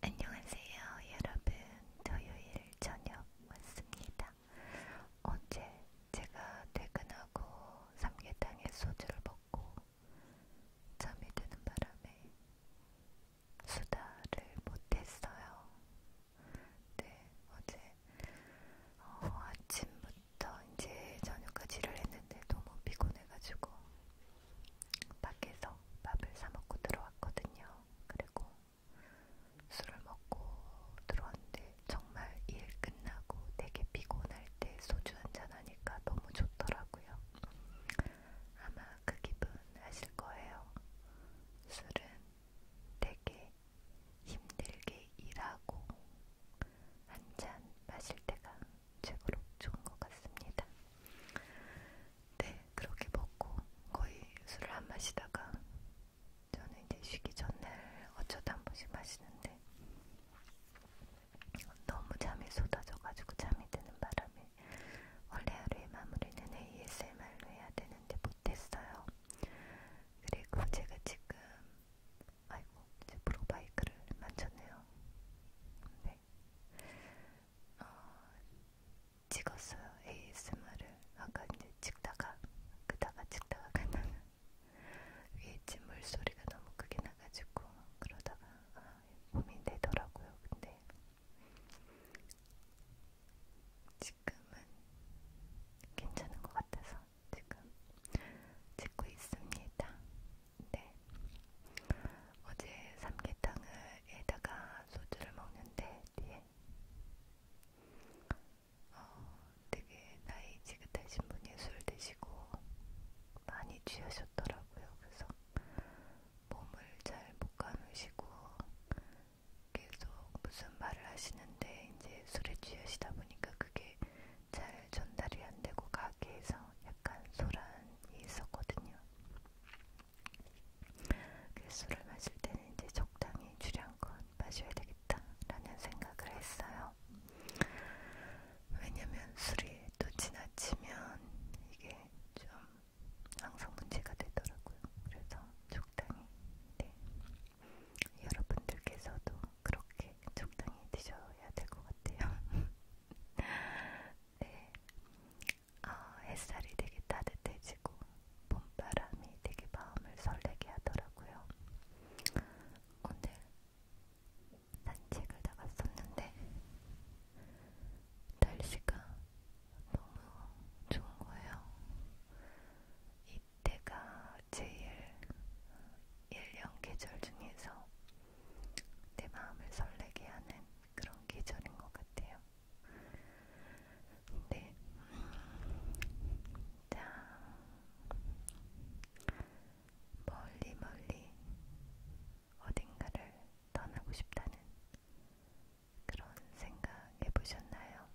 안녕하세요, 여러분. 토요일 저녁 왔습니다. 어제 제가 퇴근하고 삼계탕에 소주를 먹고 잠이 드는 바람에 수다를 못했어요. 네, 어제 어, 아침부터 이제 저녁까지 일을 했는데 너무 피곤해가지고 밖에서 밥을 사먹고 들어왔거든요. 그리고 술을 먹고 들어왔는데 정말 일 끝나고 되게 피곤할 때 소주 한 잔 하니까 너무 좋더라고요. 아마 그 기분 아실 거예요. 술은 되게 힘들게 일하고 한잔 마실 때가 책으로 좋은 것 같습니다. 네, 그렇게 먹고 거의 술을 안 마시다가 저는 이제 쉬기 전날 어쩌다 한 번씩 마시는데 너무 잠이 쏟아져가지고 잠이 드는 바람에 원래 하루의 마무리는 ASMR로 해야 되는데 못했어요. 그리고 제가 지금 아이고 이제 프로바이크를 만졌네요. 네. 때문에 네. 어, 찍었어요 ASMR을 아까 이제 찍다가 그다가 찍다가 그다가 위에 찜 물소리가 너무 크게 나가지고 그러다가 아, 몸이 되더라고요 근데 지금은 괜찮은 것 같아서 지금 찍고 있습니다. 네. 어제 삼계탕을 에다가 소주를 먹는데 뒤에 어, 되게 나이 지긋하신 분이 술 드시고 많이 취하셨더라고요. 그래서 몸을 잘 못 감으시고 계속 무슨 말을 하시는데 이제 술에 취하시다 보니까 그게 잘 전달이 안 되고 가게에서 약간 소란이 있었거든요. 그 술을 마실 때는 이제 적당히 주량껏 마셔야 되겠다라는 생각을 했어요. 왜냐면 술이 또 지나치면 이게 좀 항상 문제가 되더라고요. 그래서 적당히. 네. 여러분들께서도 그렇게 이제 적당히 드셔야 될 것 같아요. 네, 아, 햇살이 되게 따뜻해지고 봄바람이 되게 마음을 설레게 하더라고요. 오늘 산책을 나갔었는데 날씨가 너무 좋은 거예요. 이때가 제일 일년 계절 중에서 내 마음을 설레게 하는 그런 계절인 것 같아요. 네. 자, 멀리 멀리 어딘가를 떠나고 싶다는 그런 생각 해보셨나요?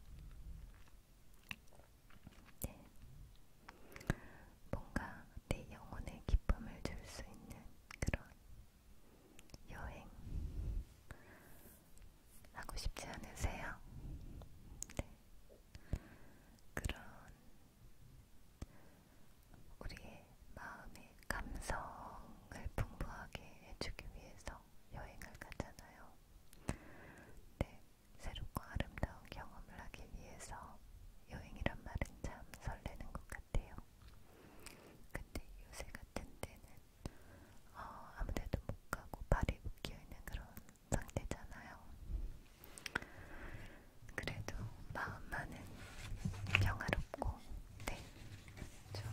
네. 뭔가 내 영혼에 기쁨을 줄 수 있는 그런 여행 하고 싶지 않으세요? 네. 그런 우리의 마음의 감성을 풍부하게 해주기 위해서 여행을 가잖아요. 네, 새롭고 아름다운 경험을 하기 위해서 여행이란 말은 참 설레는 것 같아요. 근데 요새 같은 때는 어, 아무데도 못 가고 발이 묶여 있는 그런 상태잖아요. 그래도 마음만은 평화롭고, 네, 좀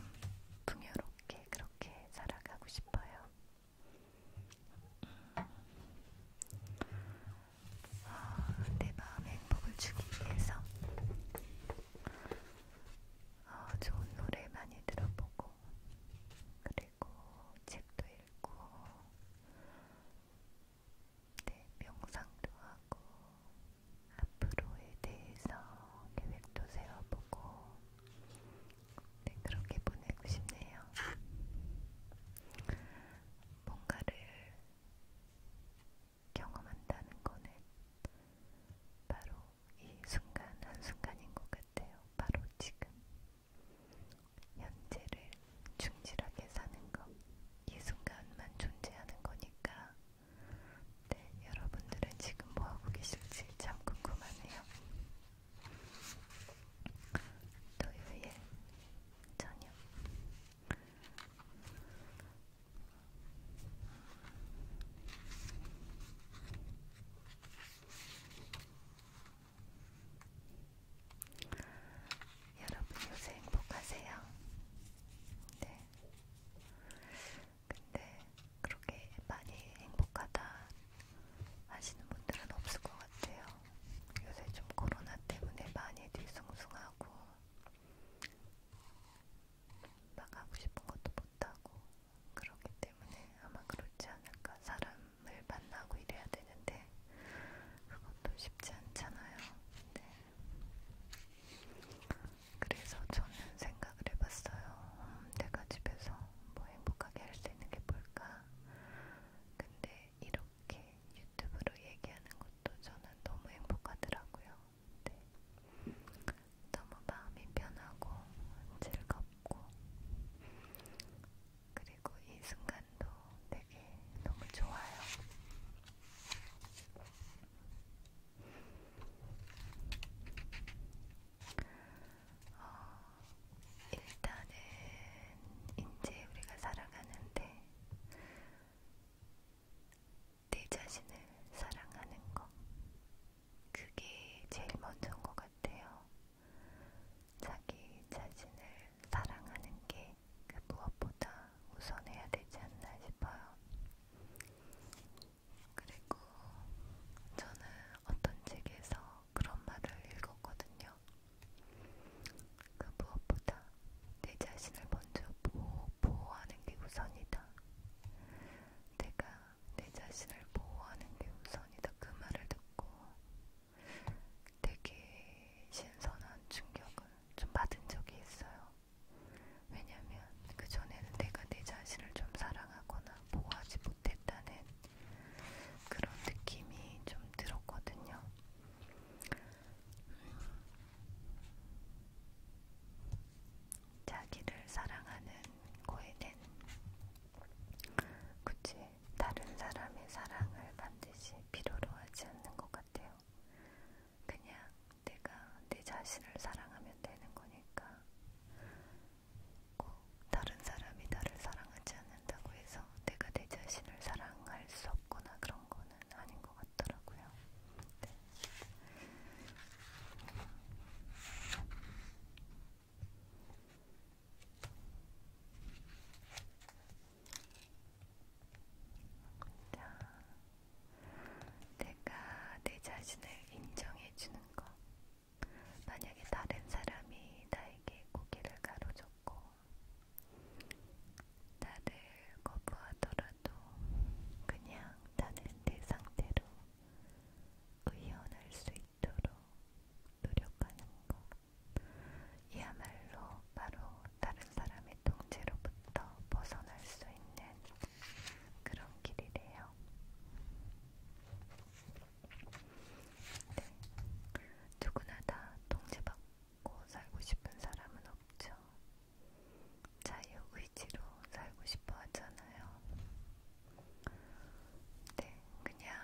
풍요롭게 그렇게 살아가고 싶어요. 음, 어, 내 마음에 행복을 주기 위해서 어, 좋은 노래 많이 들어보고 그리고 책도 읽고 네, 명상도 하고 앞으로에 대해서 계획도 세워보고 네, 그렇게 보내고 싶네요. 뭔가를 경험한다는 거는 바로 이 순간 한순간인 것 같아요. 바로 지금. 현재를 충실하게 사는 것. 이 순간만 존재하는 거니까. 네, 여러분들은 지금 뭐하고 계실지 참 궁금하네요. 토요일 저녁 여러분 요새 행복하세요? 네. 근데 그렇게 많이 행복하다 하시는 분들은 없을 것 같아요. 요새 좀 코로나 때문에 많이 뒤숭숭하고 막 하고 싶은 것도 못하고 그렇기 때문에 아마 그렇지 않을까. 사람을 만나고 이래야 되는데 그것도 쉽지 않잖아요. 네. 그래서 저는 생각을 해봤어요. 음, 내가 집에서 뭐 행복하게 할 수 있는 게 뭘까? 근데 이렇게 유튜브로 얘기하는 것도 저는 너무 행복하더라고요. 네. 너무 마음이 편하고 즐겁고 그리고 이 순간도 되게 너무 좋아요. 어, 일단은 이제 우리가 살아가는데 내 자신을 사랑하는 거 그게 제일 먼저인 것 같아요. 자기 자신을 사랑하는 게 그 무엇보다 우선해야 되지 않나 싶어요. 그리고 저는 어떤 책에서 그런 말을 읽었거든요. 그 무엇보다 내 자신을 먼저 보호, 보호하는 게 우선이다. 내가 내 자신을 보호하는 게 우선이다. 그 말을 듣고 되게 신선한 충격을 좀 받은 적이 있어요. 왜냐면 그 전에는 내가 내 자신을 좀 사랑하거나 보호하지 못했다는 그런 느낌이 좀 들었거든요. 음, 자기를 사랑하는 거에는 굳이 다른 사람의 사랑을 반드시 필요로 하지 않는 것 같아요. 그냥 내가 내 자신을 사랑하면 되는 거니까 꼭 다른 사람이 나를 사랑하지 않는다고 해서 내가 내 자신을 사랑할 수 없거나 그런 거는 아닌 것 같더라고요. 네. 자, 내가 내 자신을 인정해주는 것. 만약에 다른 사람이 나에게 고개를 가로젓고 나를 거부하더라도 그냥 나는 내 상태로 의연할 수 있도록 노력하는 것. 이야말로 바로 다른 사람의 통제로부터 벗어날 수 있는 그런 길이래요. 네. 누구나 다 통제받고 살고 싶은 사람은 없죠. 자유의지로 살고 싶어 하잖아요. 네, 그냥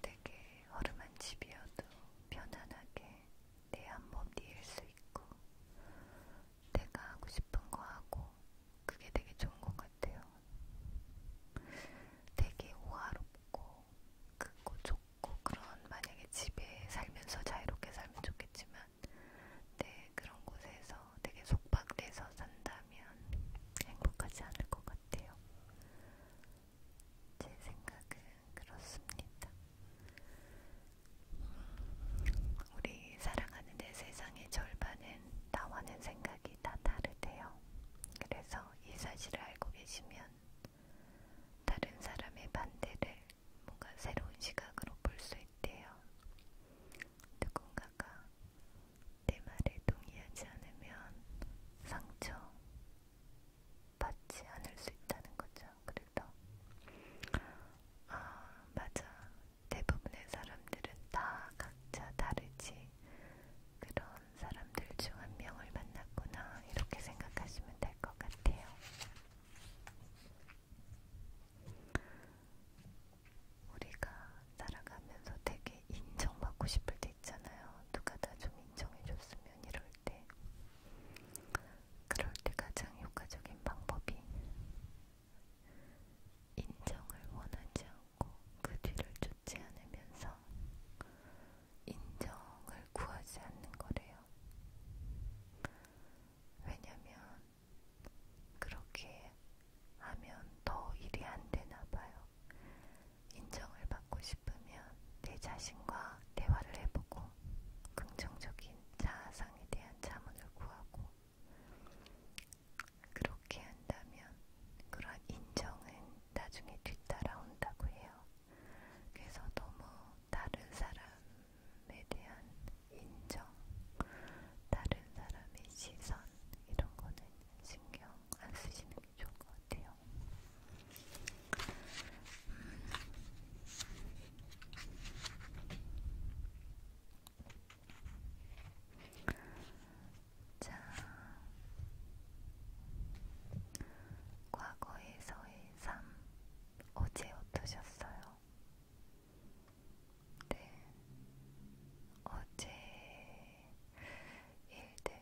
되게 허름한 집이어도 편안하게 내 한몸 뉘일 수 있고 내가 하고 싶은 거 하고 그게 되게 좋은 것 같아요. 되게 호화롭고 크고 좋고 그런 만약에 집에 살면서 자유롭게 살면 좋겠지만 네, 그런 곳에서 되게 속박돼서 산다면 행복하지 않을 것 같아요. 제 생각은 그렇습니다. 우리 살아가는 내 세상의 절반은 나와는 생각이 가격이 다 다르대요. 그래서 이 사실을 알고 계시면 다른 사람의 반대를 뭔가 새로운 시각으로 볼 수 있대요. 누군가가 내 말에 동의하지 않으면 상처 받지 않을 수 있다는 거죠. 그래서 아 맞아 대부분의 사람들은 다 각자 다르지. 그런 사람들 중 한 명을 만났구나. 이렇게 생각하시면 될 것 같아요. 우리가 살아가면서 되게 인정받고 싶을 때 있잖아요. 누가 다좀 인정해줬으면 이럴 때. 그럴 때 가장 효과적인 방법이 인정을 원하지 않고 않고 그 뒤를 쫓지 않으면서 인정을 구하지 않는 거래요. 왜냐면 그렇게 하면 더 일이 안 되나 봐요. 인정을 받고 싶으면 내 자신과 대화를 해보고 긍정적인 자아상에 대한 자문을 구하고 그렇게 한다면 그런 인정은 나중에 뒤따라온다고 해요. 그래서 너무 다른 사람에 대한 인정, 다른 사람의 시선 이런 거는 신경 안 쓰시는 게 좋을 것 같아요. 음. 자, 과거에서의 삶 어제 어떠셨어요? 네, 어제 일들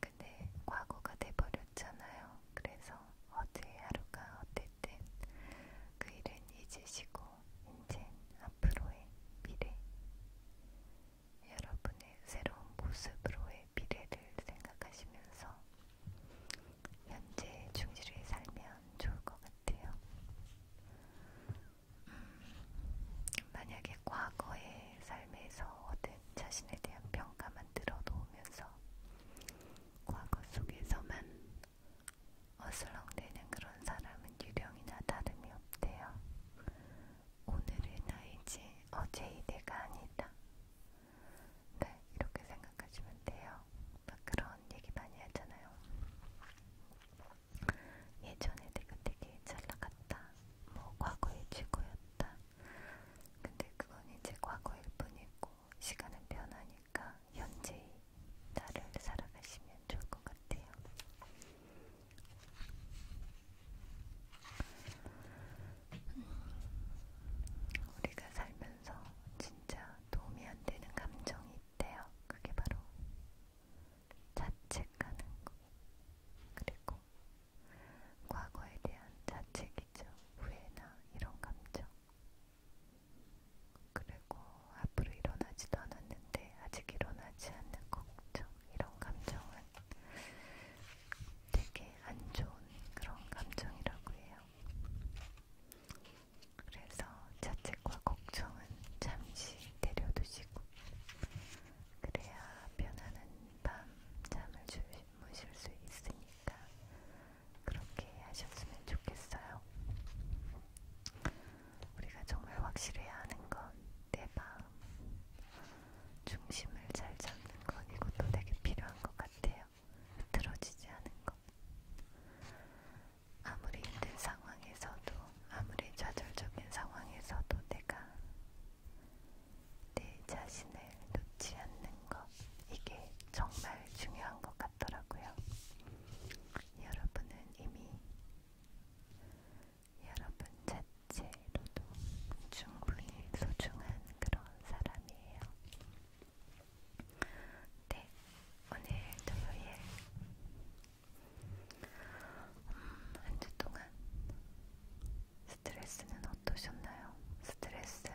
근데 과거가 돼버렸잖아요. 그래서 어제 하루가 어땠 어쨌든 그 일은 잊으시고 이젠 앞으로의 미래 여러분의 새로운 모습으로의 미래를 생각하시면서 현재 충실히 살면 좋을 것 같아요. 음, 만약에 과거의 삶에서 얻은 자신에 대한 평가만 들어 놓으면서 과거 속에서만 어슬렁대는 그런 사람은 유령이나 다름이 없대요. 오늘의 나이지 어제의 내가 아니다. 네, 이렇게 생각하시면 돼요. 막 그런 얘기 많이 하잖아요. 예전에 내가 되게 잘 나갔다. 뭐 과거의 최고였다. 근데 그건 이제 과거일 뿐이고 시간은 변하니까 현재의 나를 살아가시면 좋을 것 같아요. 음, 우리가 살면서 진짜 도움이 안 되는 감정이 있대요. 그게 바로 자책하는 거. 그리고 과거에 대한 자책이죠. 후회나 이런 감정. 그리고 앞으로 일어나지도 않았는데 아직 일어나지 않는 걱정 이런 감정은 되게 안 좋은 그런 감정이라고 해요. 그래서 자책과 걱정은 잠시 내려두시고 그래야 편안한 밤 잠을 주무실 수 있으니까 그렇게 하셨으면 좋겠어요. 우리가 정말 확실해야 하는 건 내 마음, 중심을 잘 잡는 건 이것도 되게 필요한 것 같아요. 흐트러지지 않은 것. 아무리 힘든 상황에서도, 아무리 좌절적인 상황에서도 내가 내 자신을 놓지 않는 것. 이게 정말 중요한 것 같더라고요. 여러분은 이미 여러분 자체로도 충분히 소중한 그런 사람이에요. 네, 오늘 토요일 음, 한주 동안 스트레스는 어떠셨나요? 스트레스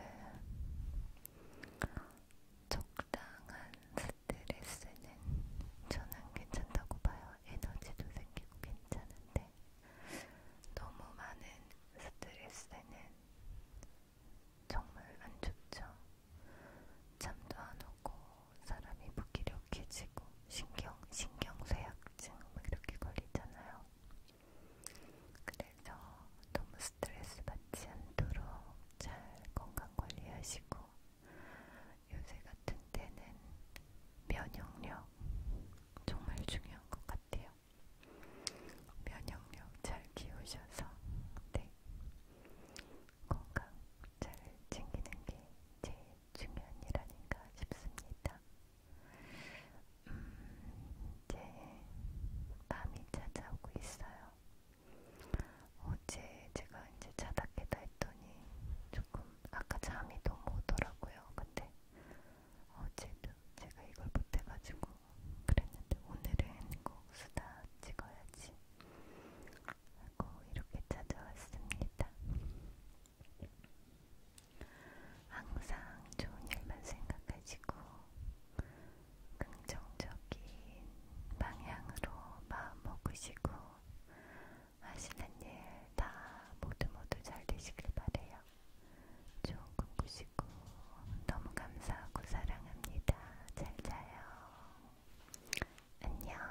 적당한 스트레스는 저는 괜찮다고 봐요. 에너지도 생기고 괜찮은데 너무 많은 스트레스는 정말 안 좋죠. 잠도 안 오고 사람이 무기력해지고 신경 신경 쇠약증 막 이렇게 걸리잖아요. 그래서 그래서 너무 스트레스 받지 않도록 잘 건강 관리하시고 요새 같은 때는 면역력 정말 중요한 것 같아요. 면역력 잘 키우셔서 네. 건강 잘 챙기는 게 제일 중요한 일 아닌가 싶습니다. 음, 이제 밤이 찾아오고 있어요. 어제 제가 이제 자다 깨다 했더니 조금 아까 잠이 너무 오더라고요. 근데 어제도 제가 이걸 못해가지고 그랬는데 오늘은 꼭 수다 찍어야지 하고 이렇게 찾아왔습니다. 항상 좋은 일만 생각하시고 긍정적인 방향으로 마음 먹으시고 하시는 일 다 모두 모두 잘 되시길 바래요. 좋은 꿈 꾸시고 너무 감사하고 사랑합니다. 잘 자요. 안녕.